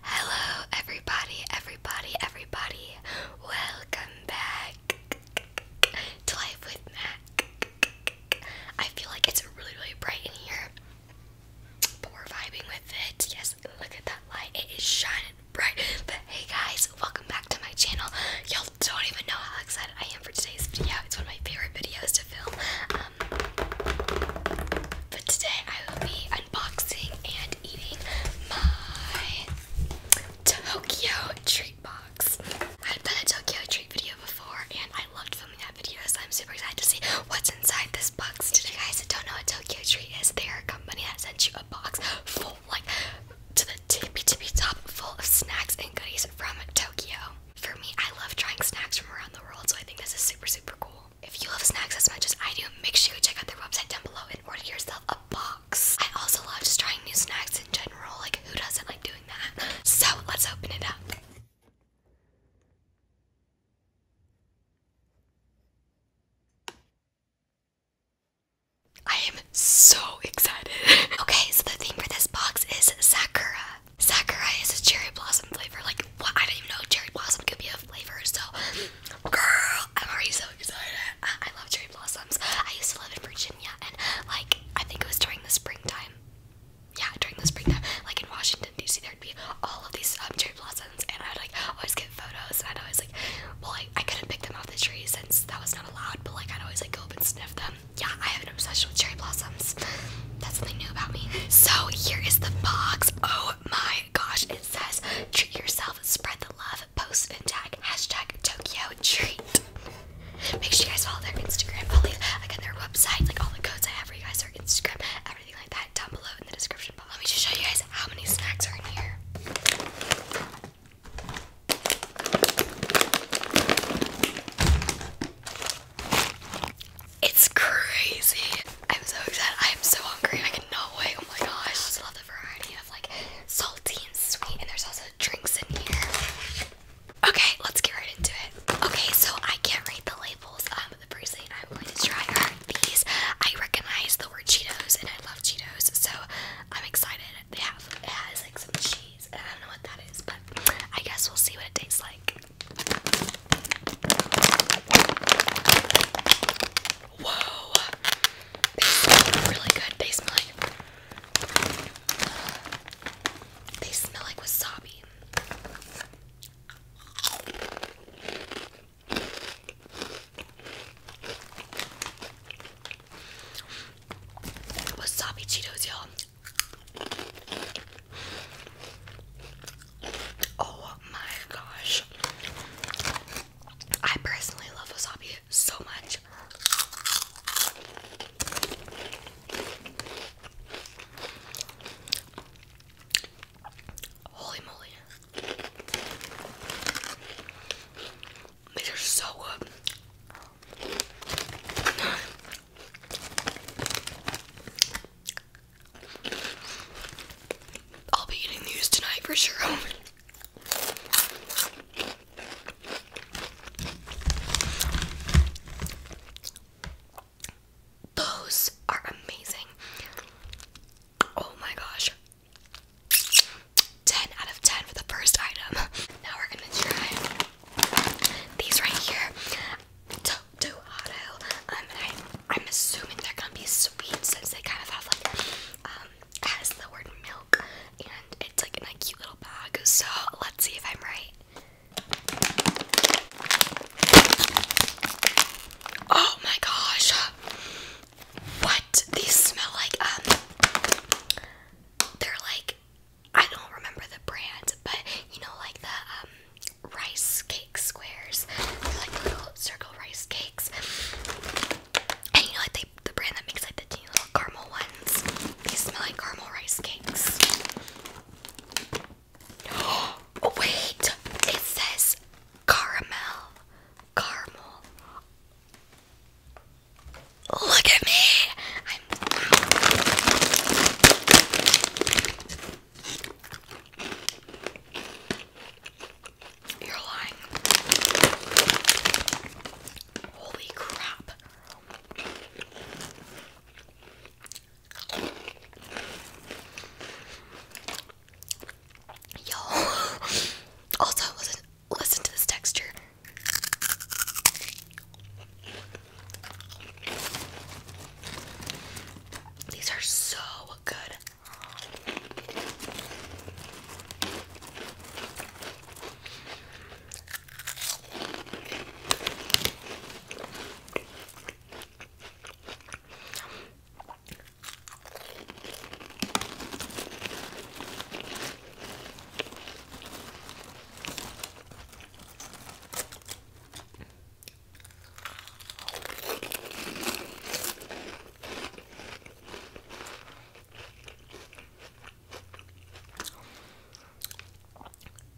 Hello, everybody, everybody, everybody. Welcome back to Life with Mac. I feel like it's really, really bright in here, but vibing with it. Yes, look at that light, it is shining bright. But hey, guys, welcome back to my channel. Y'all don't even know how excited I am for today's video. It's one of my favorite videos to film but today I will be unboxing and eating my Tokyo treat box. I've done a Tokyo treat video before and I loved filming that video so I'm super excited to see what's inside this box. Today guys that don't know what Tokyo treat is, they are a company that sent you a box full like to the tippy tippy top full of snacks and goodies from Tokyo. For me, I love trying snacks from around the world so I think this is super super cool. If you love snacks as much as I do, make sure you check out their website down below and order yourself a box. I also love just trying new snacks in general. Like, who doesn't like doing that? So, let's open it up. I am so excited. okay, so the theme for this box is Sakura. Sakurai is cherry blossom flavor. Like, what? I didn't even know cherry blossom could be a flavor. So, girl, I'm already so excited. I, love cherry blossoms. I used to live in Virginia, and like, I think it was during the springtime. Yeah, during the springtime, like in Washington D.C., there'd be all of these um, cherry blossoms, and I'd like always get photos, and I'd always like, well, I, I couldn't pick them off the tree since that was not allowed, but like I'd always like go up and sniff them. Yeah, I have an obsession with cherry blossoms. That's something new about me. So here is the box. Oh Oh my gosh, it says treat yourself, spread the love, post and tag hashtag Tokyo Treat. Make sure you guys follow their Instagram. i got their website, like all the codes I have for you guys, their Instagram, everything like that down below in the description box. Let me just show you guys how many snacks are in here. It's crazy. I'm so excited. I am so hungry. I cannot wait. Oh my gosh. I just love the variety of like salty and sweet, and there's also drinks in here. Okay, let's get right into it. Okay, so I can't read the labels um, the first thing I'm going to try are these. I recognize the word Cheetos, and I love Cheetos, so I'm excited. They have it has like some cheese, and I don't know what that is, but I guess we'll see what it tastes like. Whoa! They smell really good. They smell like they smell like wasabi. Wasabi Cheetos, y'all. Oh my gosh. I personally love wasabi so much. Holy moly. These are so good. I'll be eating these tonight for sure. Those are amazing. Oh my gosh. 10 out of 10 for the first item. Now we're gonna try these right here. Um, I, am assuming they're gonna be sweet since they kind of have like, um, has the word milk, and it's like in a cute little bag. So let's see if I'm right. Oh my gosh! What these smell like? Um, they're like I don't remember the brand, but you know, like the um rice cake squares. like little circle rice cakes. And you know, like the brand that makes like the teeny little caramel ones. They smell like caramel rice cakes. Oh wait, it says caramel, caramel. Look at me! You're lying. Holy crap. Yo. Also, listen, listen to this texture. These are so good.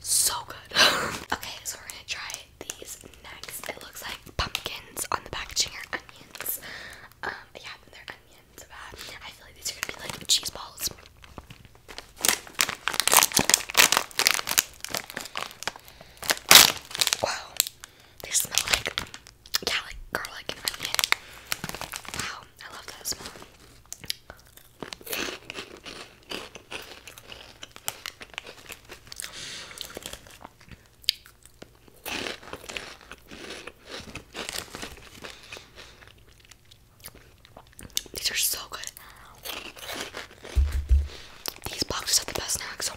So good. okay, so we're gonna try these next. It looks like pumpkins on the packaging are onions. Um, yeah, but they onions. I feel like these are gonna be like cheese balls. Wow. They smell like, yeah, like garlic and onion. Wow, I love that smell. These are so good. These boxes have the best snacks.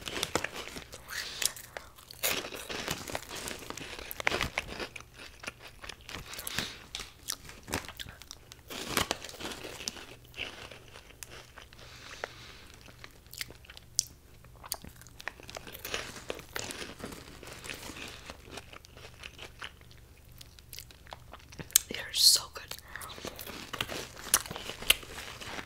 They are so good.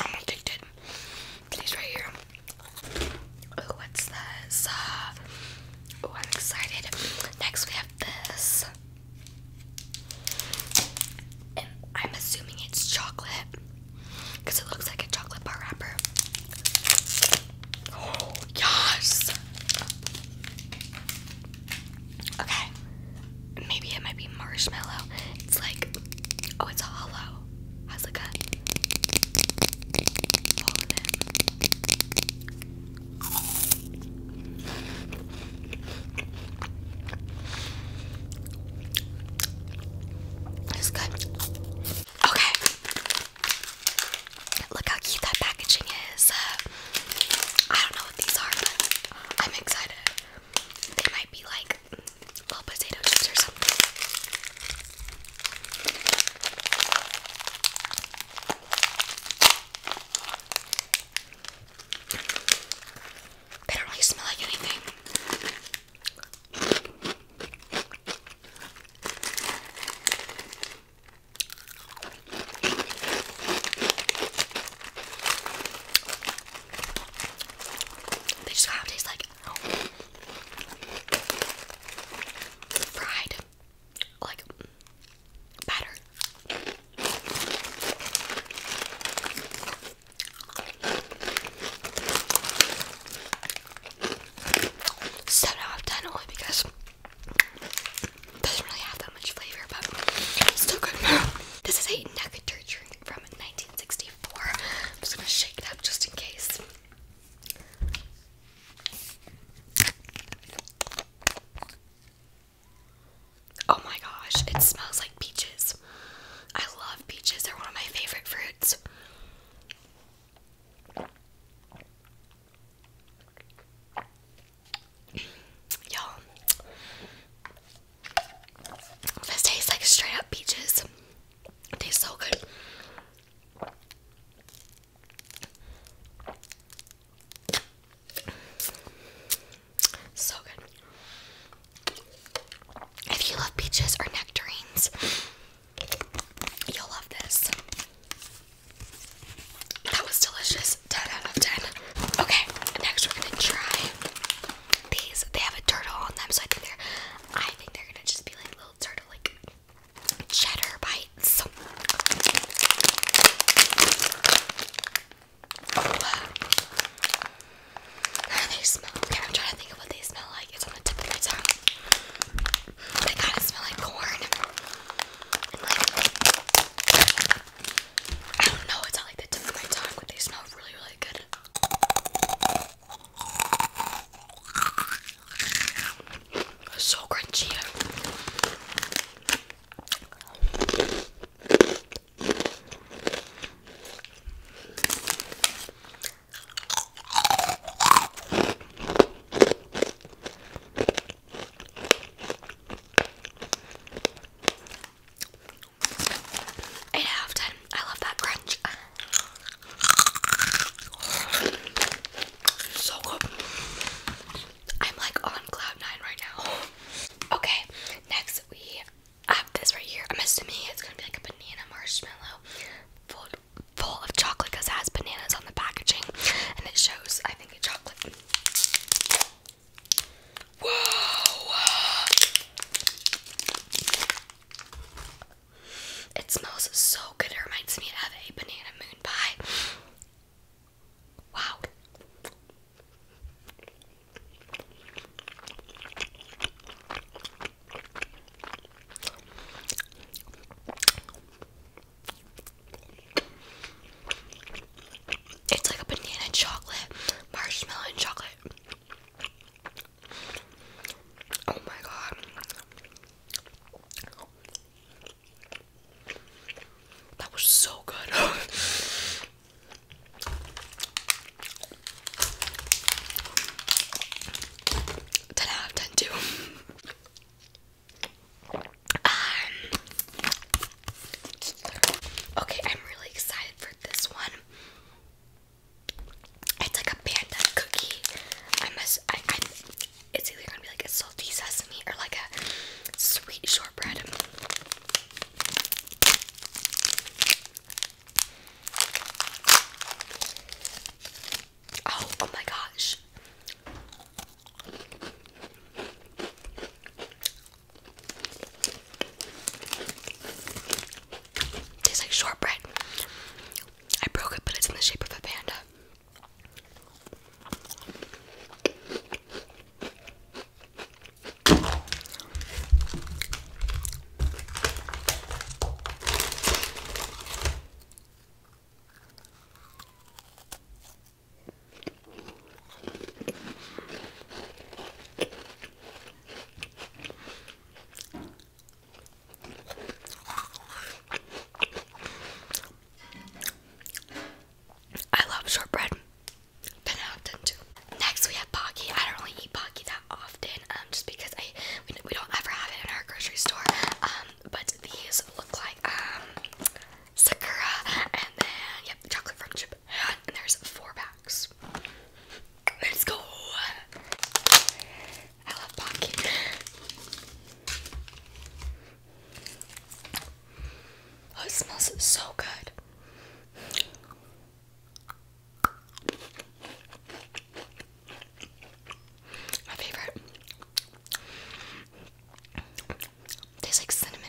I'm addicted to right here. Oh, what's this? oh, I'm excited. Next, we have this. I'm assuming it's chocolate because it looks like a chocolate bar wrapper. Oh, yes! Okay. Maybe it might be marshmallow. It's like, oh, it's hollow. Has like a hole It's good. Okay. Look how cute that packaging is. Uh, I don't know what these are, but I'm excited. They might be like little potato chips or something. They don't really smell like anything. They just kind of taste like fried, like batter. Seven out of ten only because doesn't really have that much flavor, but still good. This is a nectar drink from 1964. I'm just gonna shake it up just in case. Oh my gosh, it smells like peaches. I love peaches, they're one of my favorite fruits. Y'all, this tastes like straight up peaches. It tastes so good. So good. If you love peaches or nectarines, you'll love this. That was delicious. 10 out of 10. Okay, next we're gonna try these. They have a turtle on them, so I think they're I think they're gonna just be like little turtle like cheddar bites. they smell? I'm trying to think of what they smell like. It's on the tip of my tongue. They kinda smell like corn. I don't know, it's all like the different of tongue, but they smell really, really good. So crunchy. 8 out of 10. I love that crunch. So good. I'm like on cloud nine right now. Okay, next we have this right here. I'm assuming it's gonna be like a banana marshmallow full, full of chocolate because it has bananas on the packaging and it shows, I think, a chocolate. Whoa! It smells so good. It reminds me of a banana moon pie. Wow. It's like a banana chocolate, marshmallow and chocolate. Oh my god. That was so good. Ten out of ten Okay, I'm really excited for this one. It's like a panda cookie. I must. I. it's either gonna be like a salty sesame or like a sweet shortbread. oh, oh my gosh. Tastes like shortbread. I broke it, but it's in the shape of a panda. I love shortbread. Been too. Next we have Pocky. I don't really eat Pocky that often, um, just because I we, don't ever have it in our grocery store. Um, but these look like um sakura, and then yep, chocolate from Japan. And there's four packs. Let's go. I love Pocky. Oh, it smells so good. My favorite. Tastes like cinnamon.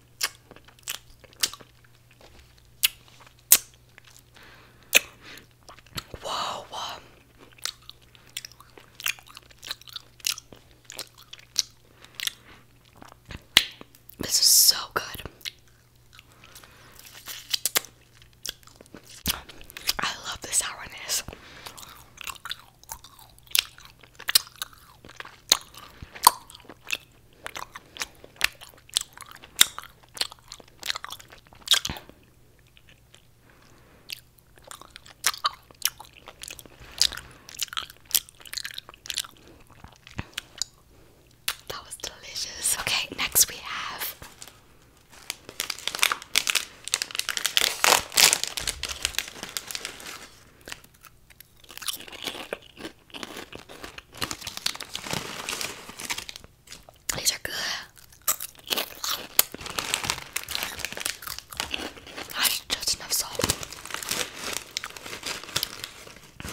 Wow, This is so good. I love the sourness. That was delicious. Okay, next we have these are good. just enough salt.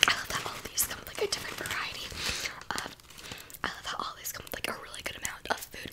I love that all these come with like a different variety. Um, I love how all these come with like a really good amount of food.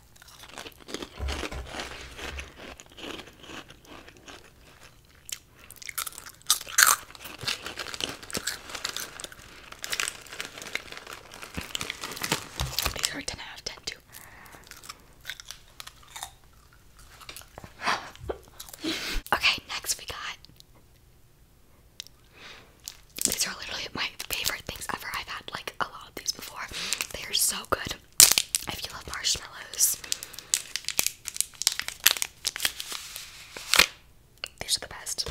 These are 10 okay, next we got these are literally my favorite things ever. I've had like a lot of these before. They are so good. If you love marshmallows, these are the best.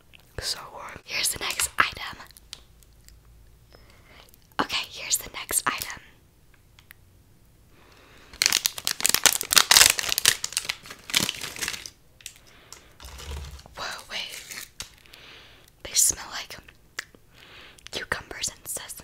So um, Here's the next item. Okay, here's the next item. Whoa, wait. They smell like cucumbers and sesame.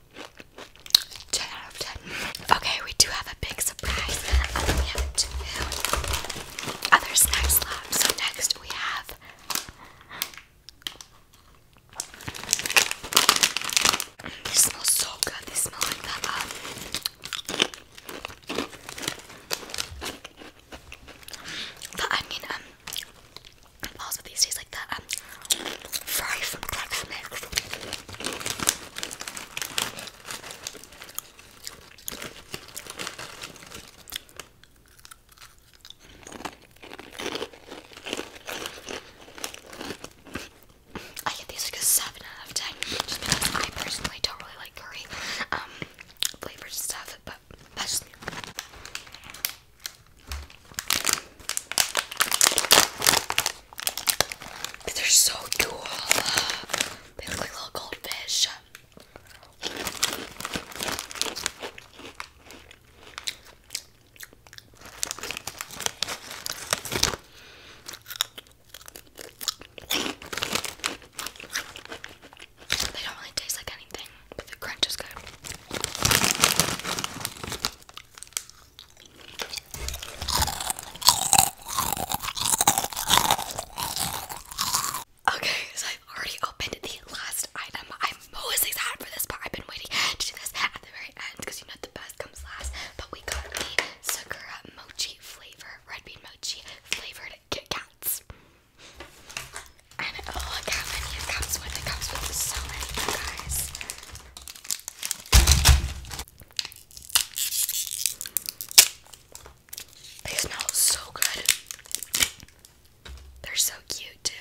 10 out of 10. Okay, we do have a big surprise. Oh, we have two other snack slabs. So next we have These smell so good. They smell like Um, the onion um balls these tastes like the um, I get these like a 7 out of 10 just because I personally don't really like curry um, flavors and stuff, but that's me. But they're so cool. They look like little goldfish. They don't really taste like anything, but the crunch is good. Okay, so I've already opened the last item. I'm most excited for this part. I've been waiting to do this at the very end because you know the best comes last. But we got the Sakura Mochi flavor, red bean mochi flavored Kit Kats. And oh, look how many it comes with. It comes with so many, guys. They smell so good. They're so cute, too.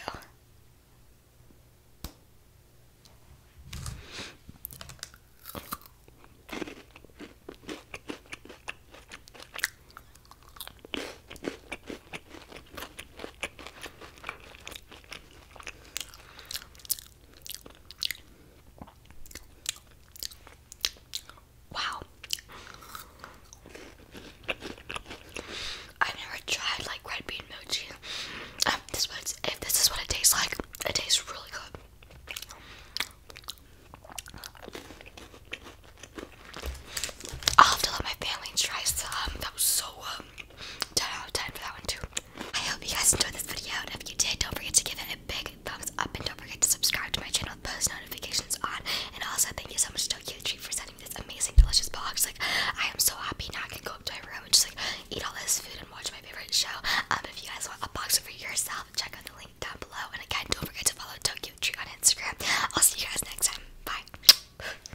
Wow. I've never tried like red bean mochi. Um, this was, if this is what it tastes like, it tastes really good. I'll have to let my family try some. That was so um, don't have time for that one too. I hope you guys enjoyed this video, and if you did, don't forget to give it a big thumbs up, and don't forget to subscribe to my channel post notifications on. And also, thank you so much to Tree for sending this amazing, delicious box. Like, I am so happy now I can go up to my room and just like eat all this food and watch my favorite show. Um, if you guys want a box for yourself, check out the link down below. And again, don't forget to follow Tokyo Tree on Instagram. I'll see you guys next time. Bye.